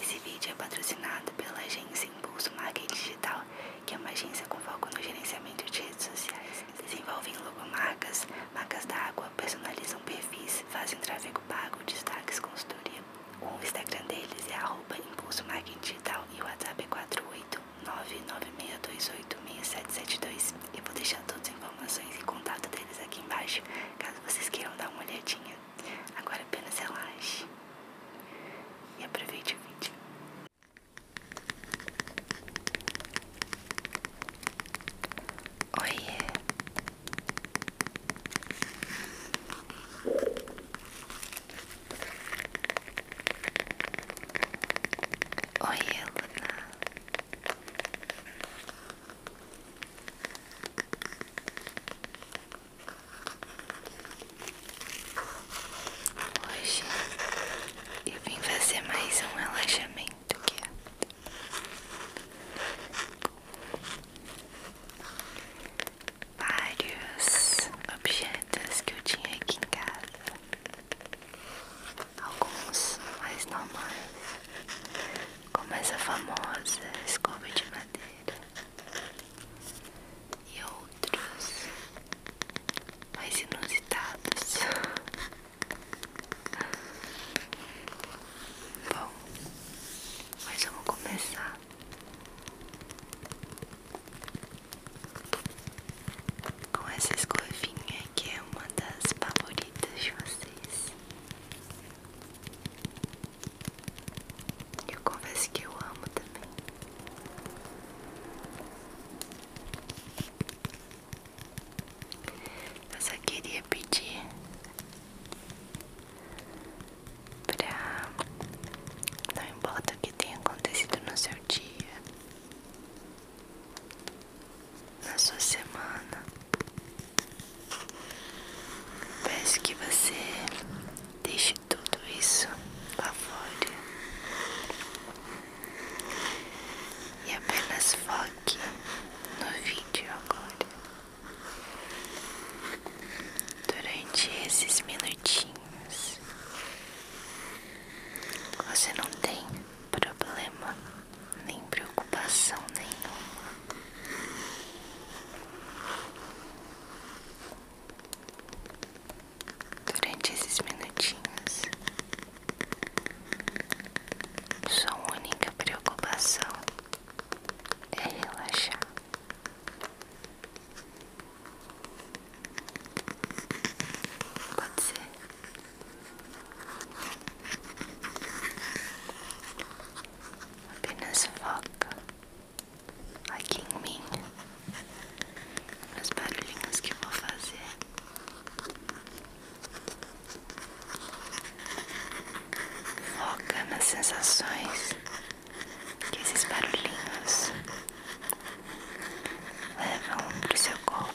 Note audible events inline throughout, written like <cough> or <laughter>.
Esse vídeo é patrocinado pela agência Impulso Marketing Digital, que é uma agência com foco no gerenciamento de redes sociais. Desenvolvem logomarcas, marcas d'água, personalizam perfis, fazem tráfego pago, destaques, consultoria. O Instagram deles é arroba Impulso Marketing Digital e o WhatsApp é 48996286772. Eu vou deixar todas as informações e contato deles aqui embaixo, caso vocês queiram dar uma olhadinha. Agora apenas relaxe e aproveite o vídeo. Oiê! Oiê, Luna! Hoje eu vim fazer mais um relaxamento aqui. Vários objetos que eu tinha aqui em casa. Alguns mais normais, como essa famosa escova de madeira e outros mais inusitados. Bom, mas vamos começar. Com essa escovinha que é uma das favoritas de vocês, eu confesso que eu amo também. Eu só queria pedir pra não importa o que tenha acontecido no seu dia, na sua semana, Peço que você deixe tudo isso lá fora e apenas foque no vídeo agora. Durante esses minutinhos, você não tem problema nem preocupação nenhuma. Durante esses minutinhos, sua única preocupação é relaxar. Pode ser. Apenas foca aqui em mim, nos barulhinhos que vou fazer. Foca nas sensações que esses barulhinhos levam para o seu corpo.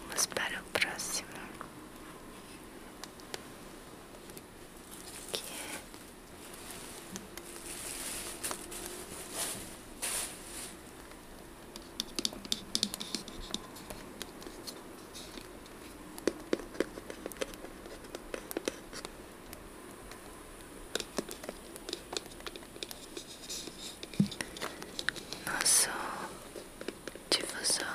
Vamos para o próximo, que é nosso difusor.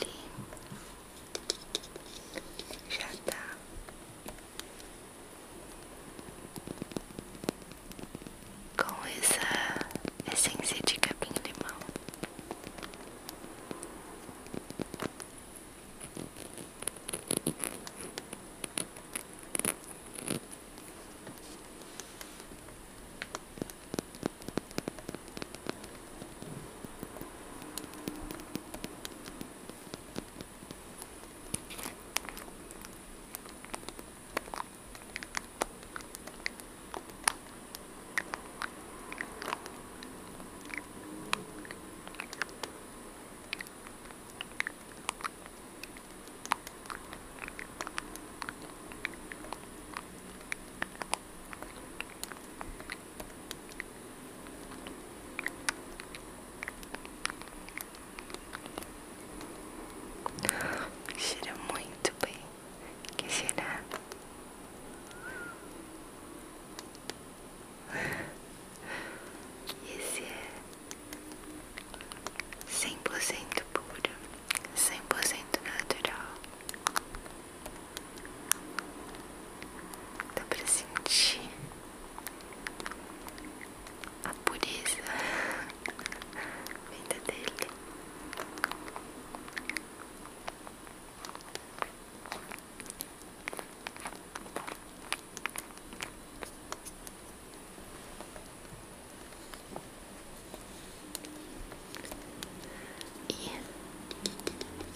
Ele já tá com essa essência de capim-limão. Cheira muito bem que será? Esse é 100% puro, cento natural. Dá pra sentir a pureza <laughs> vinda dele.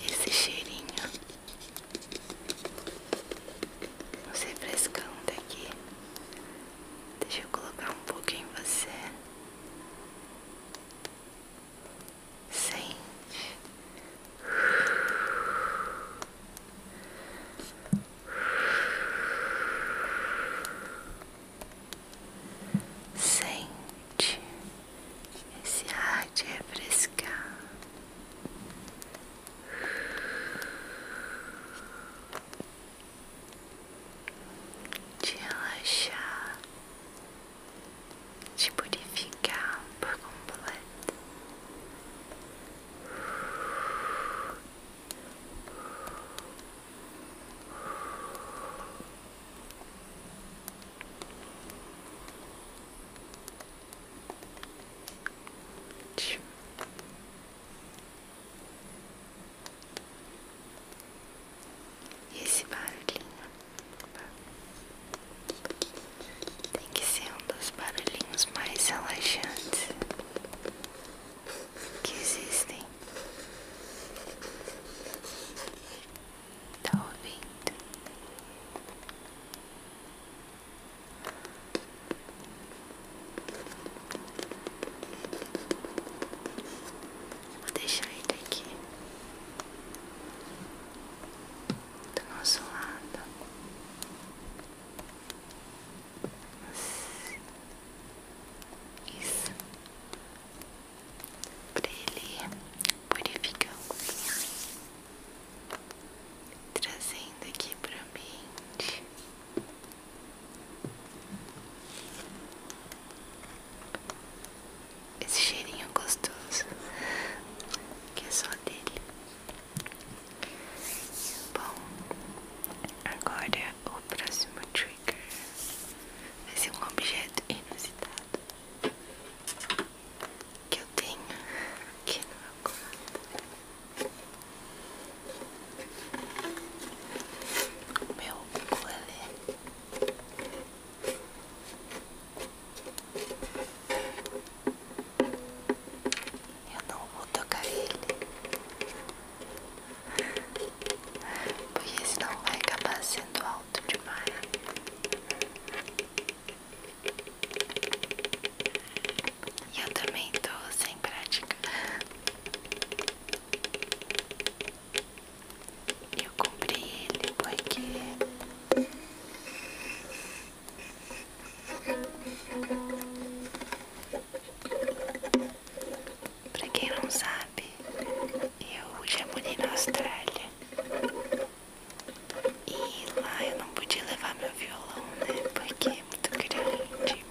E esse cheirinho, não você frescando aqui, deixa eu colocar um pouco em você sente, sente esse ar de refrescar de relaxar, de purificar por completo. Ótimo esse barulhinho tem que ser um dos barulhinhos mais relaxantes que existem. Tá ouvindo? Vou deixar ele aqui do nosso lado. Isso. Pra ele purificar o Trazendo aqui pro mim esse cheirinho gostoso que é só dele. Bom, agora o próximo trigger vai ser um objeto inusitado que eu tenho aqui no meu quarto. O meu ukulele eu não vou tocar ele, porque senão vai acabar sendo alto demais. E eu também tô sem prática. Eu comprei ele porque Pra quem não sabe, eu já morei na Austrália E lá eu não podia levar meu violão, né? Porque é muito grande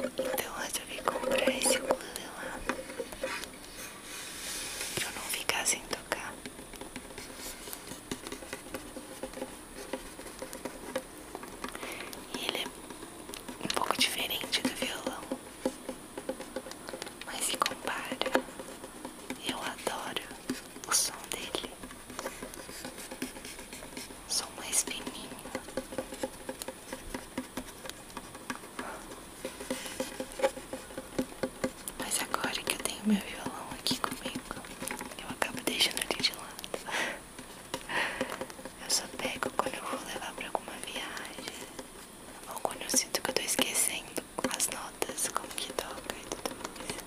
então eu resolvi comprar esse ukulele lá Pra eu não ficar sem tocar ele é um pouco diferente do violão Mas se compara Eu adoro o som dele Som mais fininho mas agora que eu tenho meu violão aqui comigo, eu acabo deixando ele de lado. Eu só pego quando eu vou levar pra alguma viagem. Ou quando eu sinto que eu tô esquecendo as notas, como que toca e tudo mais.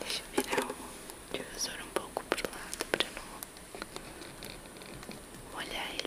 Deixa eu virar o divisor um pouco pro lado pra não olhar ele.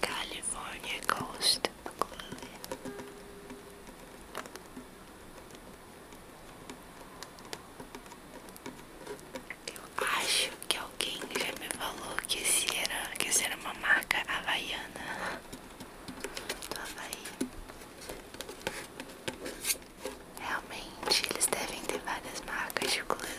California Ghost Club. Eu acho que alguém já me falou que esse era, que era uma marca havaiana Havaí. Realmente eles devem ter várias marcas de ukulele.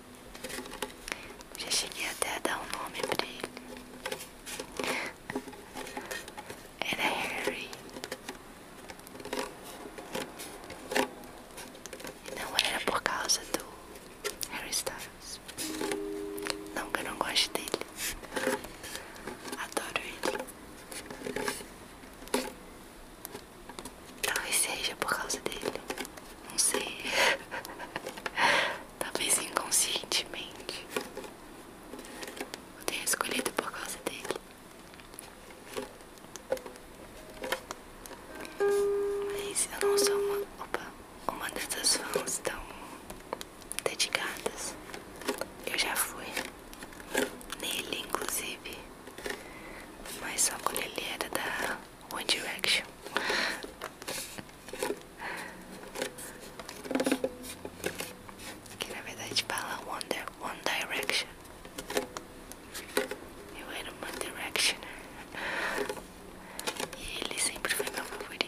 Já cheguei até a dar um nome pra ele. Era Harry. E não era por causa do Harry Styles. Não que eu não goste dele. Adoro ele. Talvez seja por causa dele. Não sei. <laughs> Talvez inconscientemente. Eu tenha escolhido por causa dele. Mas eu não sou uma, opa, uma dessas fãs tão dedicadas. Eu já fui nele, inclusive. Mas só quando ele era da One Direction. Que na verdade fala One, one Direction. Eu era One Direction. E ele sempre foi meu favorito.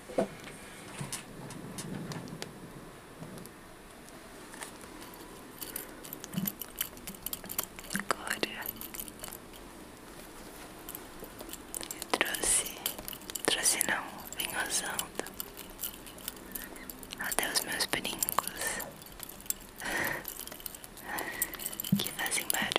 Agora eu trouxe, trouxe não, vim usando até os meus brincos <laughs> que fazem barulho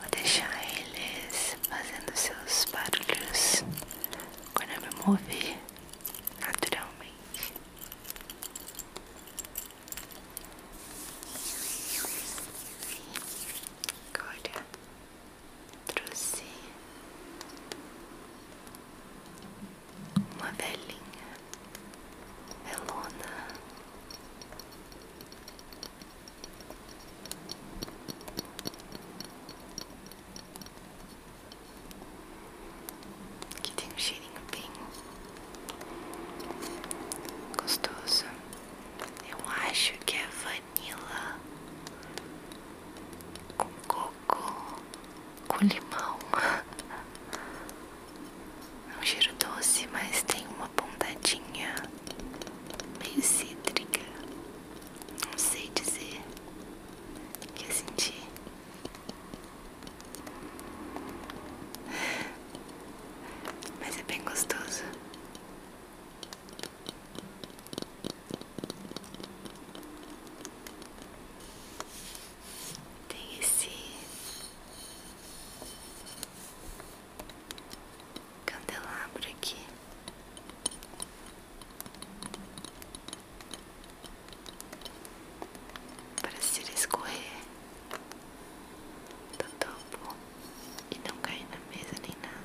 Vou deixar eles fazendo seus barulhos quando eu me mover naturalmente. Agora trouxe uma velhinha melona que tem um cheirinho bem gostoso. Eu acho que é vanila com coco, com limão. <laughs> É um cheiro doce, mas tem uma pontadinha meio cítrica. Não sei dizer o que eu senti. Mas é bem gostoso. Tem esse candelabro aqui. Para se escorrer do topo e não cair na mesa nem nada.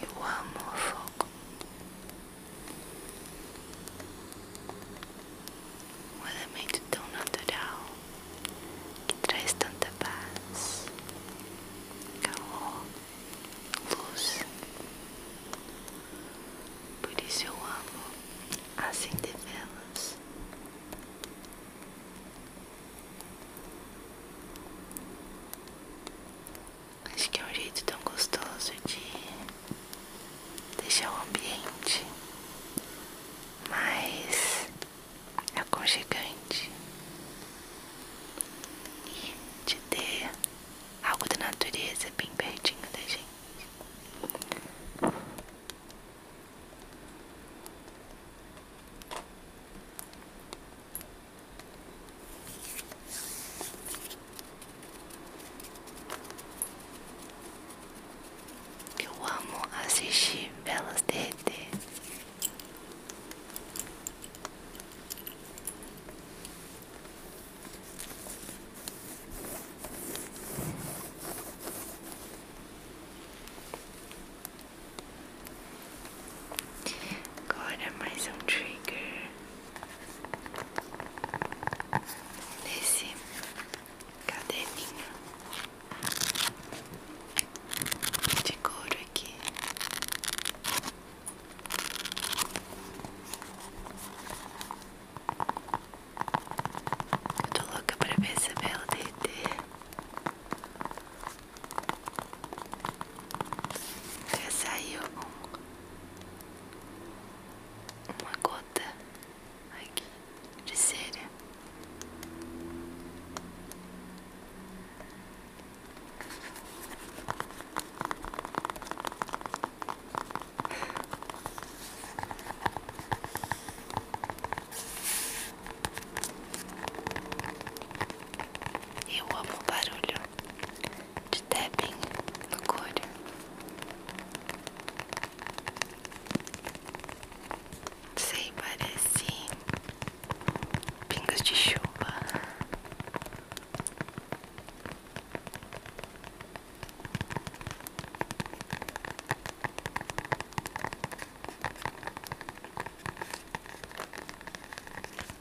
Eu amo o fogo. Um elemento tão natural que traz tanta paz, calor, luz. Por isso eu amo acender velas. Acho que é um jeito tão gostoso de deixar o ambiente mais aconchegante e de ter algo da natureza bem pertinho da gente. Eu amo assistir elas derreter. Agora mais um trigger nesse caderninho de couro aqui. tô louca pra ver essa bela DT. Já saiu uma gota aqui de cera. e amo o barulho de Tebin, Lucúria. Sei, parece pingos de chuva.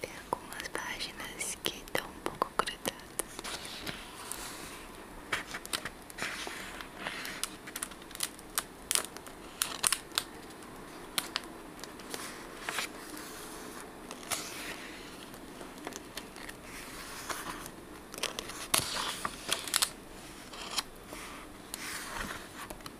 Tem algumas páginas que estão um pouco grudadas.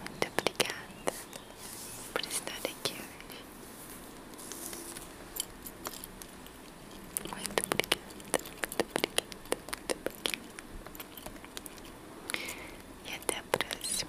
Muito obrigada por estar aqui Muito obrigada, muito obrigada, muito obrigada. E até a próxima.